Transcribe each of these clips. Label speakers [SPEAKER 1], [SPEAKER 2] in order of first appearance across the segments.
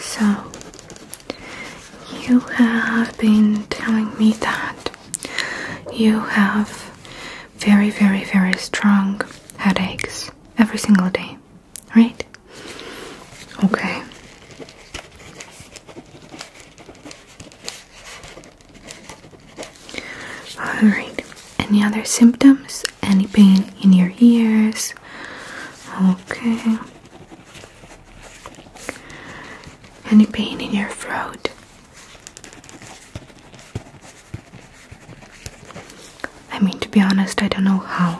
[SPEAKER 1] So, you have been telling me that you have very, very, very strong headaches every single day right? Okay. All right. Any other symptoms? Any pain in your ears? Okay. Any pain in your throat? I mean, to be honest, I don't know how.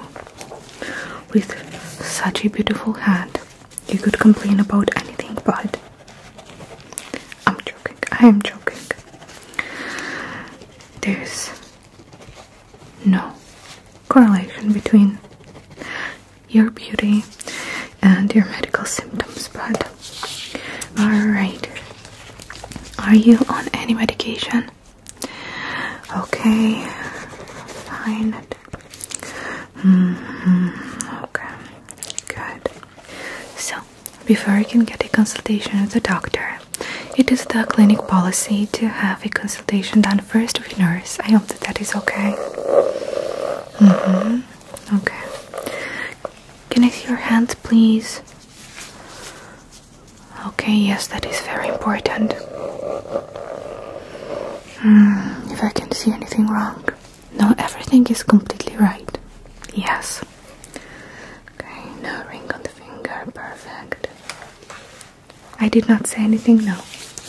[SPEAKER 1] With such a beautiful hat, you could complain about anything, but I'm joking. I am joking. There's no correlation between your beauty and your medical symptoms, but alright, are you on any medication? Okay, fine. -hmm. Okay, good. So, before you can get a consultation with the doctor, it is the clinic policy to have a consultation done first with a nurse. I hope that that is okay. Mm -hmm. Okay. Can I see your hands, please? Okay, yes, that is very important. Mm, if I can see anything wrong. No, everything is completely right. Yes. Okay, no ring on the finger, perfect. I did not say anything, no.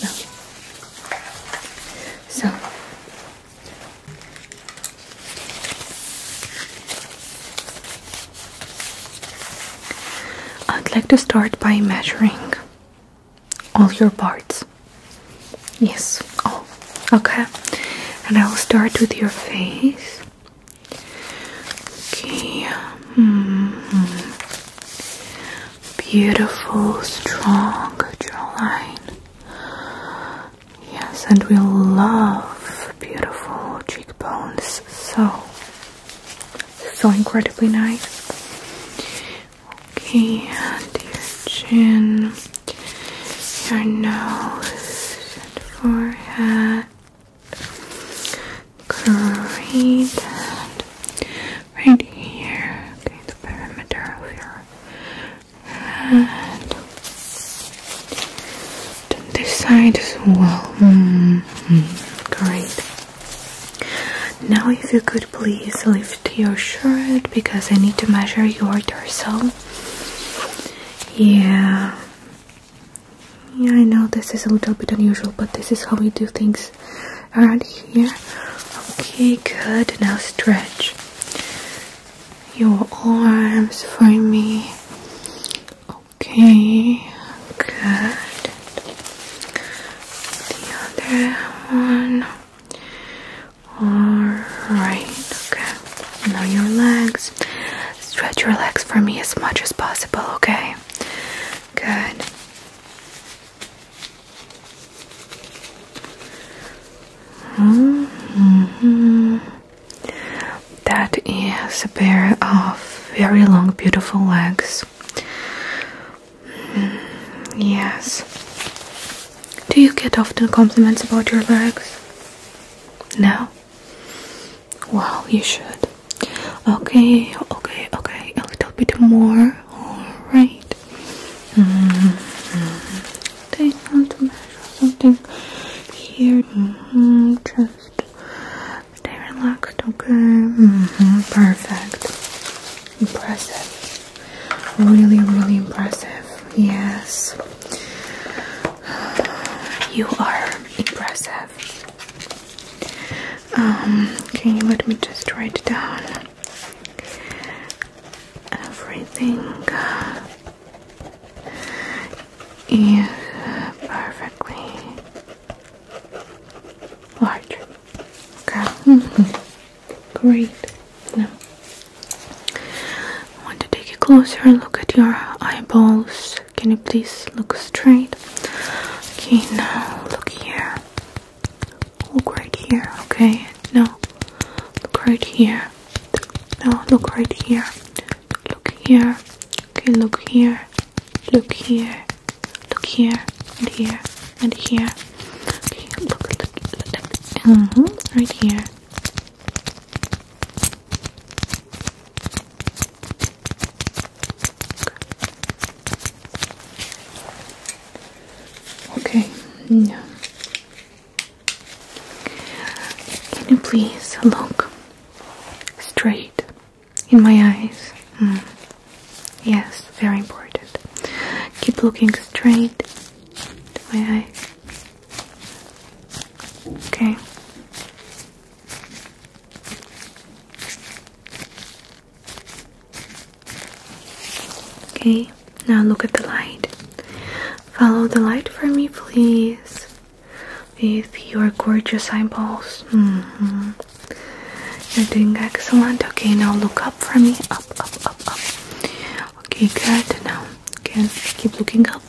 [SPEAKER 1] No. So I'd like to start by measuring all your parts. Yes, all. Oh, okay. And I'll start with your face. Okay. Hmm. Beautiful, strong jawline. Yes, and we love beautiful cheekbones. So, so incredibly nice. Okay, and your chin, your nose, forehead. Great. right here, okay, the perimeter of your and this side as well. Mm-hmm. Great. Now, if you could please lift your shirt because I need to measure your torso. Yeah. Yeah, I know this is a little bit unusual, but this is how we do things around here. Okay, good. Now stretch your arms for me. Okay, good. The other one. Alright, okay. Now your legs. Stretch your legs for me as much as possible, okay? Good. -hmm. That is a pair of very long, beautiful legs. Hmm, yes. Do you get often compliments about your legs? No? Well, you should. Okay, okay, okay. A little bit more. Alright. Hmm, hmm, something, here. Mm-hmm. Just stay relaxed, okay? Mm-hmm. Perfect. Impressive. Really, really impressive. Yes. You are impressive. Um, can you let me just write down everything? is perfectly large. Okay, great. Now, I want to take a closer look at your eyeballs. Can you please look straight? Okay, now look here. Look right here. Okay, now look right here here. Now look right here. Look here. Okay, look here. Look here. Look here. And here. And here. Okay, look, look, look. Mm-hmm, right here. Okay, yeah. Can you please look straight in my eyes? Mm. Yes, very important. Keep looking straight to my eyes. Okay. Okay, now look at the light. Follow the light for me, please. With your gorgeous eyeballs. Mm-hmm. You're doing excellent. Okay, now look up for me. Up, up, up, up. Okay, good. Now, again, keep looking up.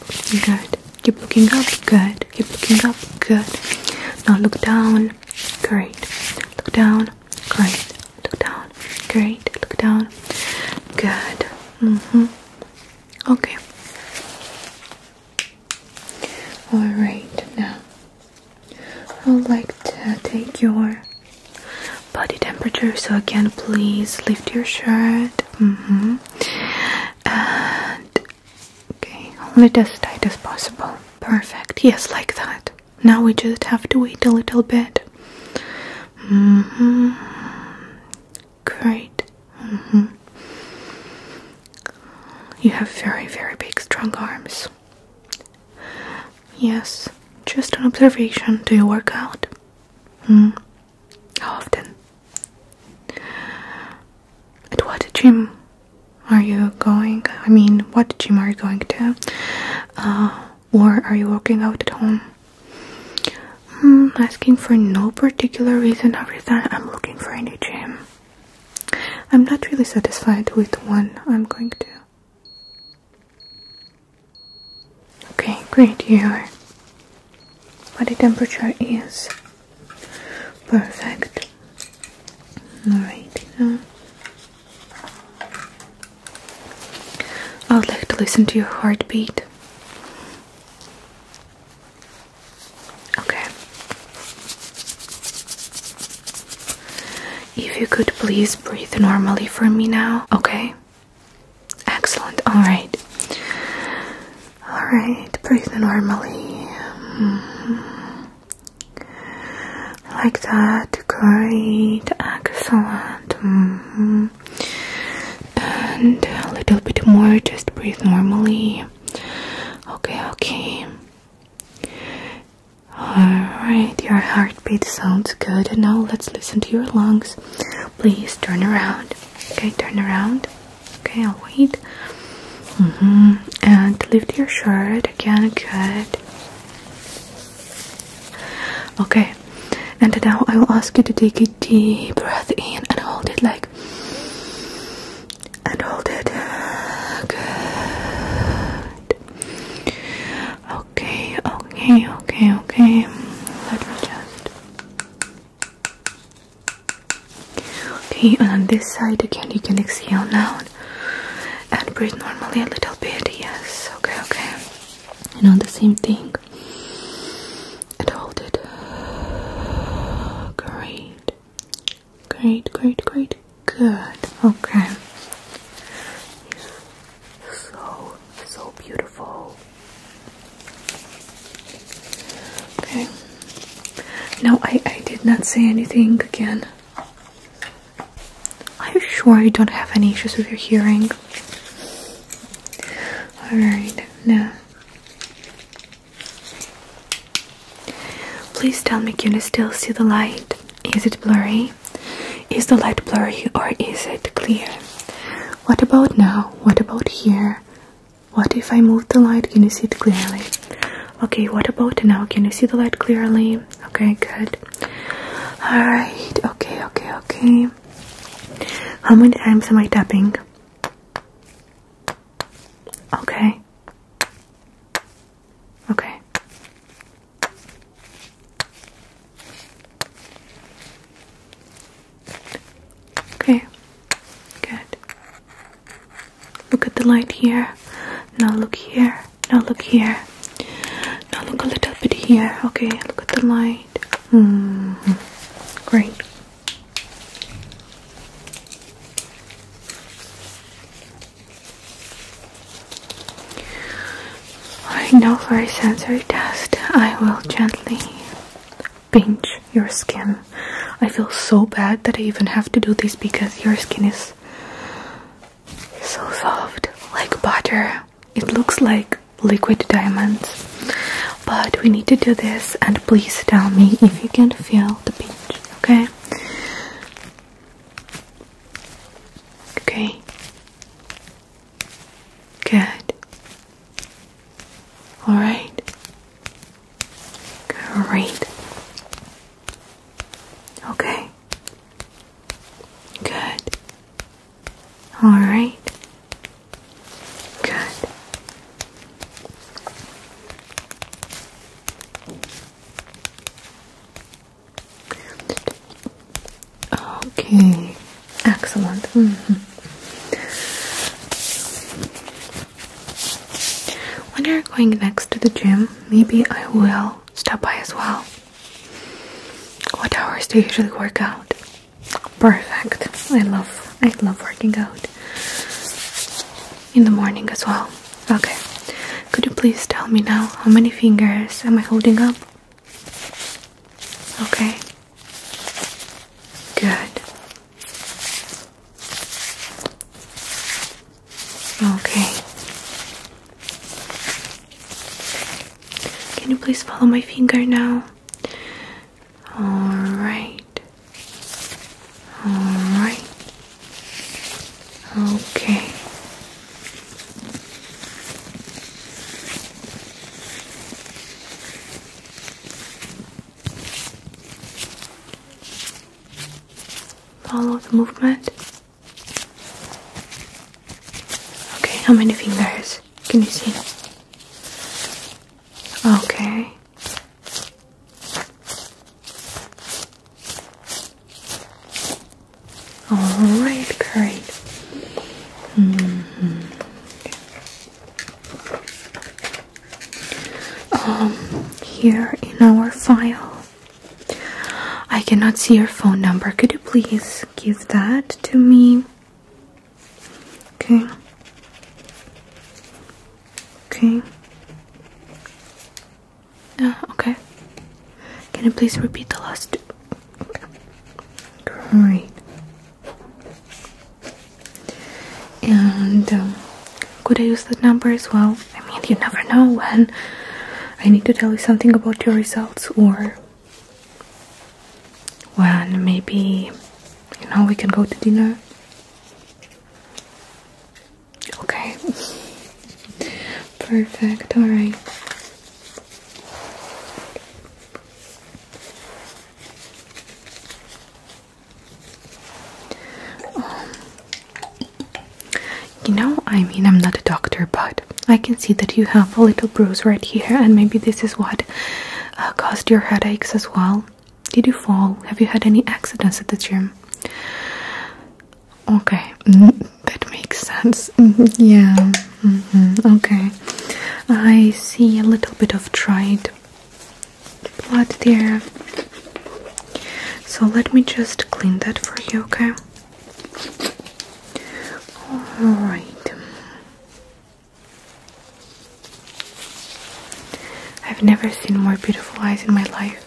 [SPEAKER 1] Good. Keep looking up. Good. Keep looking up. Good. Now look down. Great. Look down. Great. Look down. Great. Look down. Good. Mm-hmm. Okay. Alright, now I would like to take your body temperature. So, again, please lift your shirt. Mm hmm. And okay, hold it as tight as possible. Perfect. Yes, like that. Now we just have to wait a little bit. Mm-hmm. Great. Mm-hmm. You have very, very big, strong arms. Yes, just an observation. Do you work out? Mm. How often? At what gym are you going? I mean, what gym are you going to? Uh, or are you working out at home? Mm, asking for no particular reason every time I'm looking for a new gym. I'm not really satisfied with one. I'm going to. Okay, great. Your body temperature is perfect. Alright, I would like to listen to your heartbeat. Okay. If you could please breathe normally for me now, okay? Excellent. All right. All right. Breathe normally. Mm-hmm like that, great, excellent. Mm-hmm. And a little bit more, just breathe normally. Okay, okay. Alright, your heartbeat sounds good. And now let's listen to your lungs. Please turn around. Okay, turn around. Okay, I'll wait. -hmm. And lift your shirt again. Good. Okay, and now I will ask you to take a deep breath in and hold it like. And hold it. Good. Okay, okay, okay, okay. Let me just. Okay, and on this side again, you can exhale now and breathe normally a little bit. Yes, okay, okay. You know the same thing and hold it great great great great good okay so so beautiful okay no I I did not say anything again are you sure you don't have any issues with your hearing? Alright, now. Please tell me, can you still see the light? Is it blurry? Is the light blurry or is it clear? What about now? What about here? What if I move the light? Can you see it clearly? Okay, what about now? Can you see the light clearly? Okay, good. Alright, okay, okay, okay. How many times am I tapping? Okay. Okay. Okay. Good. Look at the light here. Now look here. Now look here. Now look a little bit here. Okay, look at the light. -hmm. Great. Alright, now for a sensory test, I will gently pinch your skin. I feel so bad that I even have to do this because your skin is so soft, like butter. It looks like liquid diamonds. But we need to do this, and please tell me if you can feel the pinch, okay? Okay. Good. Alright. Great. Okay. Good. All right. Good. Okay. Excellent. Mm -hmm. When you're going next to the gym, maybe I will stop by as well. What hours do you usually work out? Perfect. I love I love working out. In the morning as well. Okay. Could you please tell me now how many fingers am I holding up? Okay. Good. Okay. Can you please follow my finger now? Alright. Alright. Okay. Follow the movement. Okay, how many fingers can you see? Okay. All right, great. Mm-hmm. Um, here in our file, I cannot see your phone number. Could you please give that to me? Okay. Okay. Uh, okay. Can you please repeat the last Okay. Great. And um, could I use that number as well? I mean, you never know when I need to tell you something about your results or when maybe, you know, we can go to dinner. Okay. Perfect. All right. Um, you know, I mean, I'm not a doctor, but I can see that you have a little bruise right here, and maybe this is what uh, caused your headaches as well. Did you fall? Have you had any accidents at the gym? Okay, mm, that makes sense. Mm-hmm. yeah, mm-hmm. okay. I see a little bit of dried blood there. So let me just clean that for you, okay? Alright. I've never seen more beautiful eyes in my life.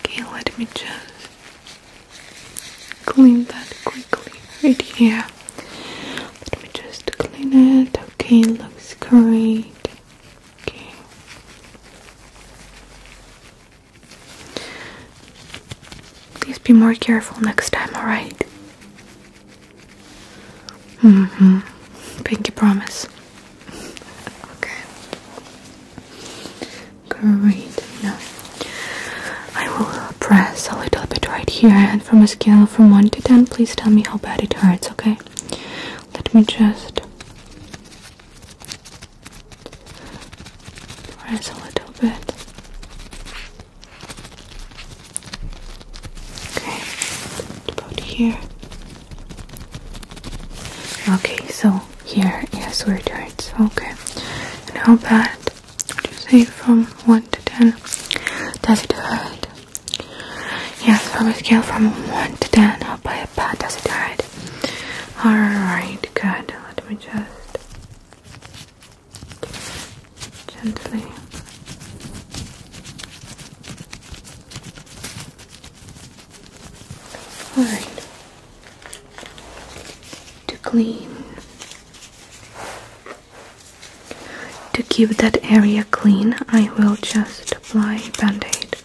[SPEAKER 1] Okay, let me just clean that quickly right here. Let me just clean it. Okay, looks great. Okay. Please be more careful next time, alright? Mm hmm. Pinky promise. okay. Great. Now, I will uh, press a little bit right here, and from a scale from 1 to 10, please tell me how bad it hurts, okay? Let me just press a little bit. Okay, about here. Okay, so here yes where it Okay. And how bad would you say from one to ten? Does it hurt? Yes, from a scale from 1 to 10, how by a does it hide? Alright, good. Let me just gently. Alright. To clean. To keep that area clean, I will just apply band-aid.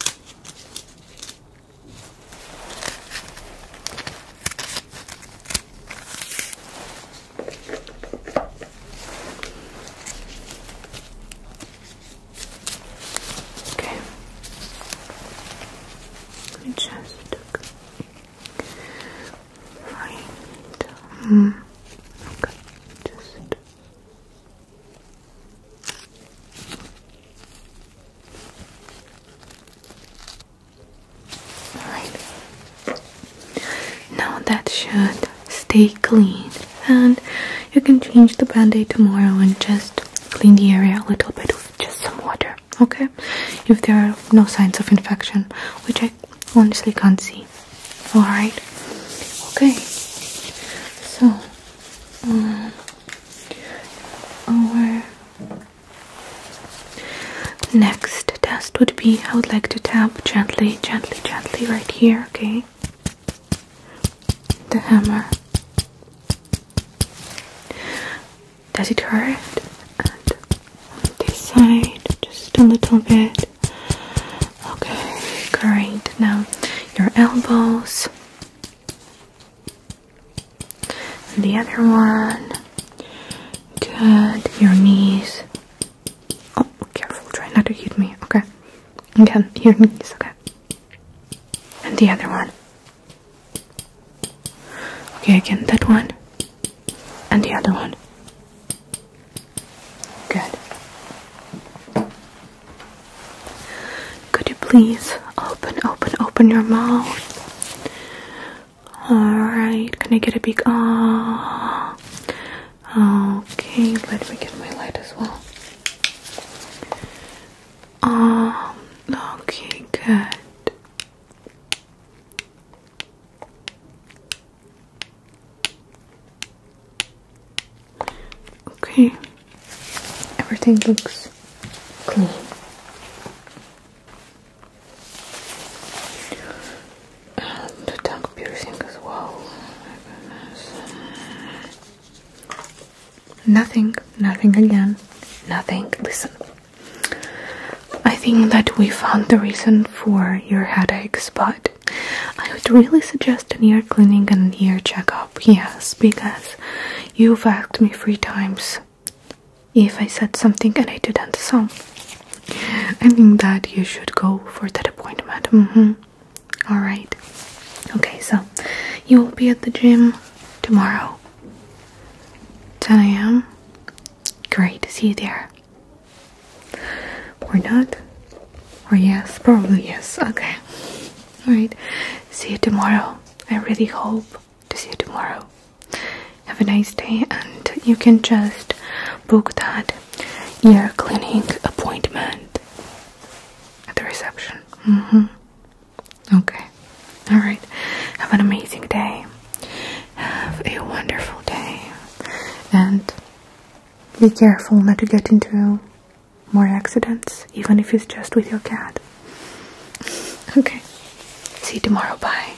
[SPEAKER 1] Okay. just look. Right. Um, okay. Just now that should stay clean, and you can change the band aid tomorrow and just clean the area a little bit with just some water, okay? If there are no signs of infection, which I honestly can't see. All right. Okay. So, um, our next test would be I would like to tap gently, gently, gently right here. Okay. The hammer. Does it hurt? And on this side, just a little bit. Okay, great. Now your elbows. the other one. Good. Your knees. Oh, careful. Try not to hit me. Okay. Again, your knees. Okay. And the other one. Okay, again, that one. And the other one. Good. Could you please open, open, open your mouth? Alright, can I get a big ah? Oh. Okay, let me get my light as well. Um, okay, good. Okay, everything looks clean. the tongue piercing as well. Nothing, nothing again, nothing. Listen, I think that we found the reason for your headaches, but I would really suggest an ear cleaning and an ear checkup, yes, because you've asked me three times if I said something and I didn't, so I think that you should go for that appointment. Mm-hmm. Alright. Okay, so you will be at the gym tomorrow. 10 a.m. Great, see you there. Or not? Or oh, yes? Probably yes. Okay. Alright. See you tomorrow. I really hope to see you tomorrow. Have a nice day, and you can just book that ear cleaning appointment at the reception. Mm -hmm. Okay. Alright. Have an amazing day. Have a wonderful day. And be careful not to get into more accidents, even if it's just with your cat. Okay. See you tomorrow. Bye.